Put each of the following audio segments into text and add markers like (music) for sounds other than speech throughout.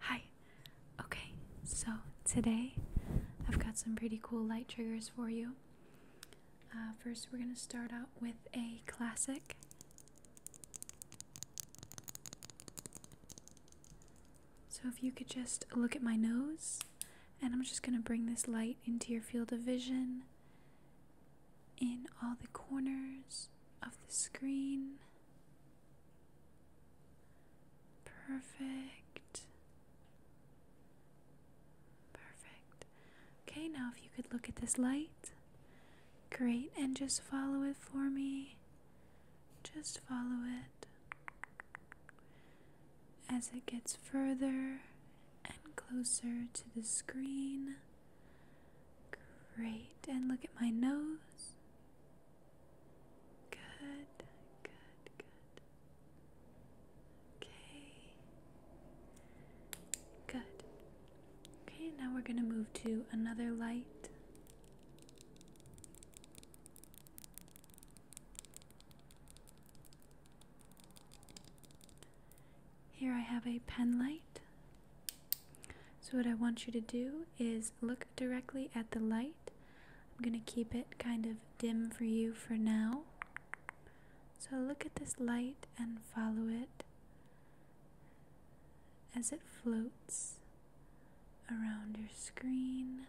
Hi. Okay, so today I've got some pretty cool light triggers for you. Uh, first, we're going to start out with a classic. So, if you could just look at my nose, and I'm just going to bring this light into your field of vision in all the corners of the screen. Perfect. Perfect. Okay, now if you could look at this light. Great, and just follow it for me. Just follow it as it gets further and closer to the screen. Great. And look at my nose. Good, good, good. Okay. Good. Okay, now we're going to move to another light. Here I have a pen light. So, what I want you to do is look directly at the light. I'm going to keep it kind of dim for you for now. So, look at this light and follow it as it floats around your screen.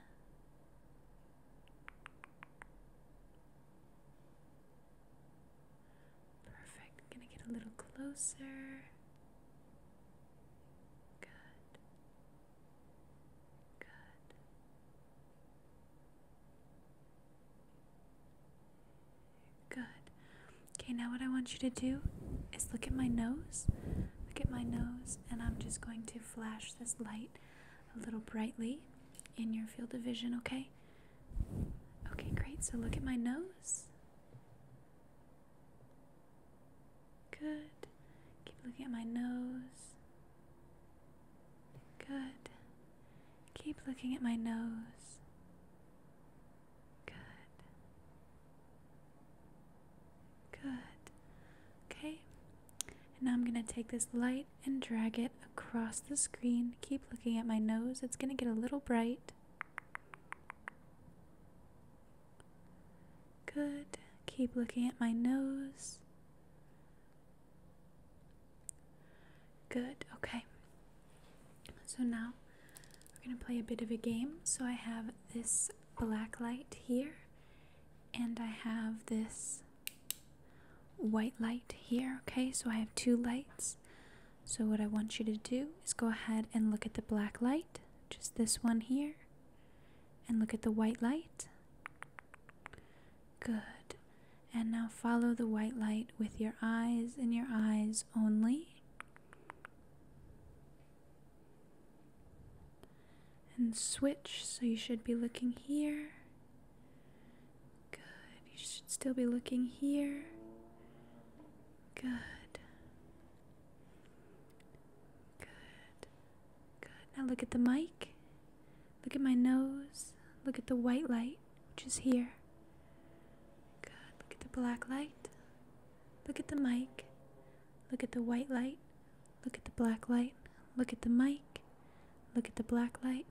Perfect. gonna get a little closer. Good. Good. Good. Okay, now what I want you to do is look at my nose. Look at my nose, and I'm just going to flash this light a little brightly in your field of vision, okay? Okay, great. So look at my nose. Good. Keep looking at my nose. Good. Keep looking at my nose. Good. Good. Okay. And now I'm going to take this light and drag it across the screen. Keep looking at my nose, it's going to get a little bright. Good. Keep looking at my nose. Good, okay. So now we're going to play a bit of a game. So I have this black light here, and I have this white light here, okay? So I have two lights. So what I want you to do is go ahead and look at the black light, just this one here, and look at the white light. Good. And now follow the white light with your eyes and your eyes only and switch. So you should be looking here. Good. You should still be looking here. Good. Good. Good. Now look at the mic. Look at my nose. Look at the white light, which is here. Good. Look at the black light. Look at the mic. Look at the white light, Look at the black light. Look at the mic. Look at the black light.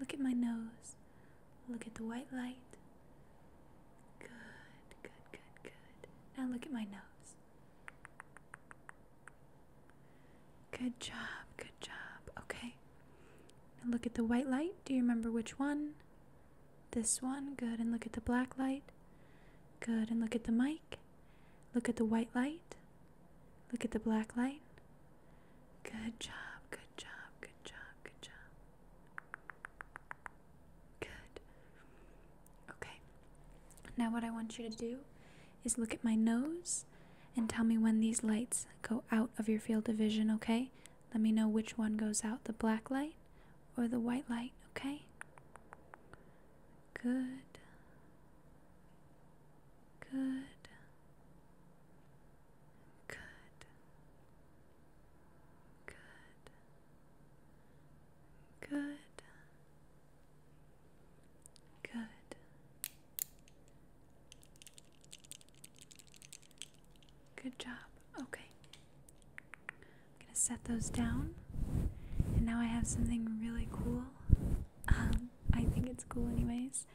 Look at my nose. Look at the white light. Good, good, good, good. Now look at my nose. Good job, good job. Okay. Now look at the white light. Do you remember which one? This one. Good. And look at the black light. Good. And look at the mic. Look at the white light. Look at the black light. Good job, good job, good job, good job. Good. Okay. Now, what I want you to do is look at my nose and tell me when these lights go out of your field of vision, okay? Let me know which one goes out the black light or the white light, okay? Good. Good. Good. Good. Good. Good. Good job. Okay. I'm gonna set those down. And now I have something really cool. Um, I think it's cool, anyways.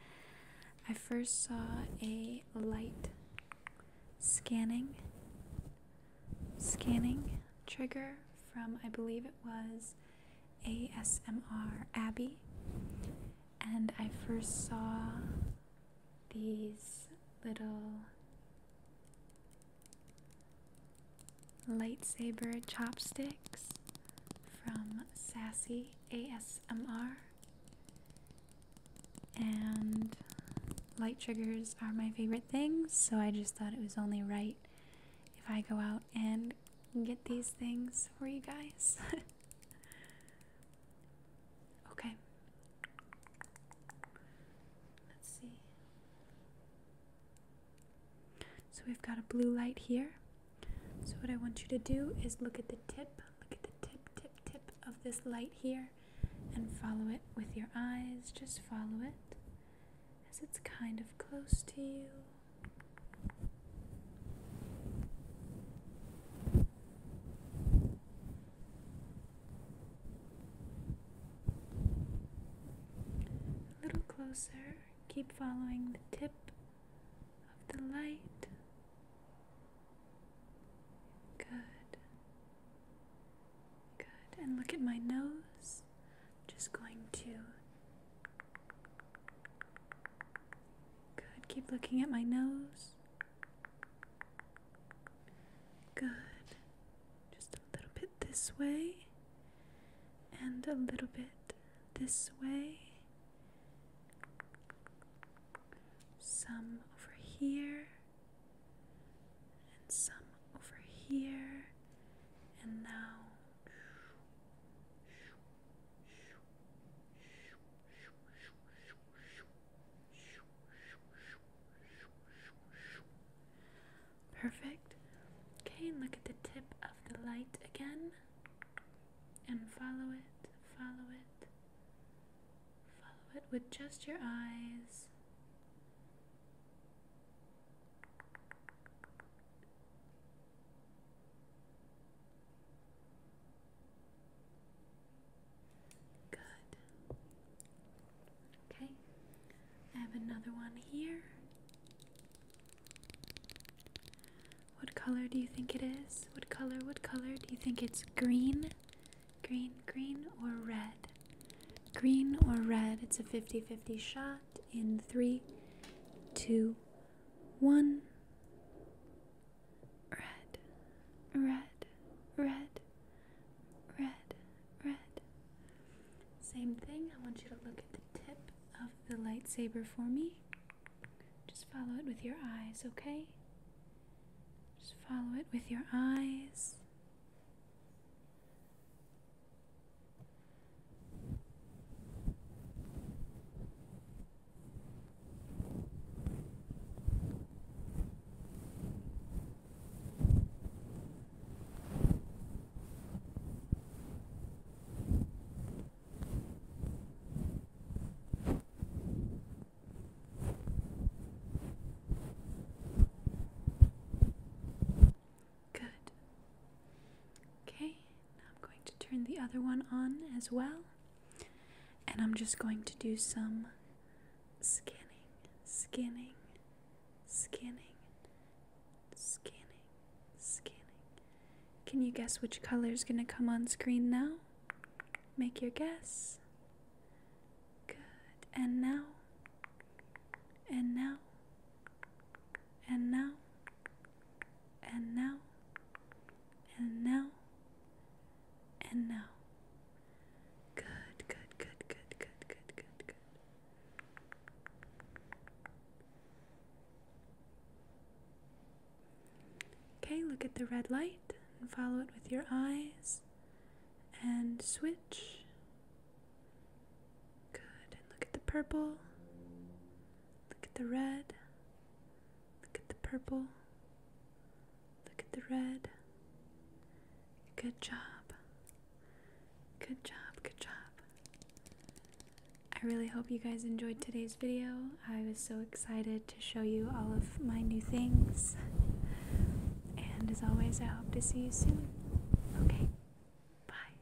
I first saw a light scanning scanning trigger from I believe it was ASMR Abby, and I first saw these little Lightsaber Chopsticks from Sassy ASMR. And light triggers are my favorite things, so I just thought it was only right if I go out and get these things for you guys. (laughs) okay, Let's see. So we've got a blue light here. So what I want you to do is look at the tip, look at the tip, tip, tip of this light here and follow it with your eyes. Just follow it as it's kind of close to you. A little closer, keep following the tip of the light. Good. Good. And look at my nose. I'm just going to. Good. Keep looking at my nose. Good. Just a little bit this way, and a little bit this way. Some over here, and some over here, and now. Perfect. Okay, look at the tip of the light again and follow it, follow it, follow it with just your eyes. Good. Okay. I have another one here. What color do you think it is? What color? What color? Do you think it's green? Green, green, or red? Green or red? It's a 50 50 shot in three, two, one red, red, red, red, red. Same thing, I want you to look at the tip of the lightsaber for me. Just follow it with your eyes, okay? Just follow it with your eyes. Good. Okay, I'm going to turn the other one on as well. And I'm just going to do some skinning, skinning, skinning, skinning, skinning. Can you guess which color is going to come on screen now? Make your guess. Good. And now. And now. And now and now, and now, and now. Good, good, good, good, good, good, good, good. Okay, look at the red light and follow it with your eyes and switch. Good, and look at the purple, look at the red, Look at the purple. Look at the red. Good job. Good job, good job. I really hope you guys enjoyed today's video. I was so excited to show you all of my new things. And as always, I hope to see you soon. Okay, bye.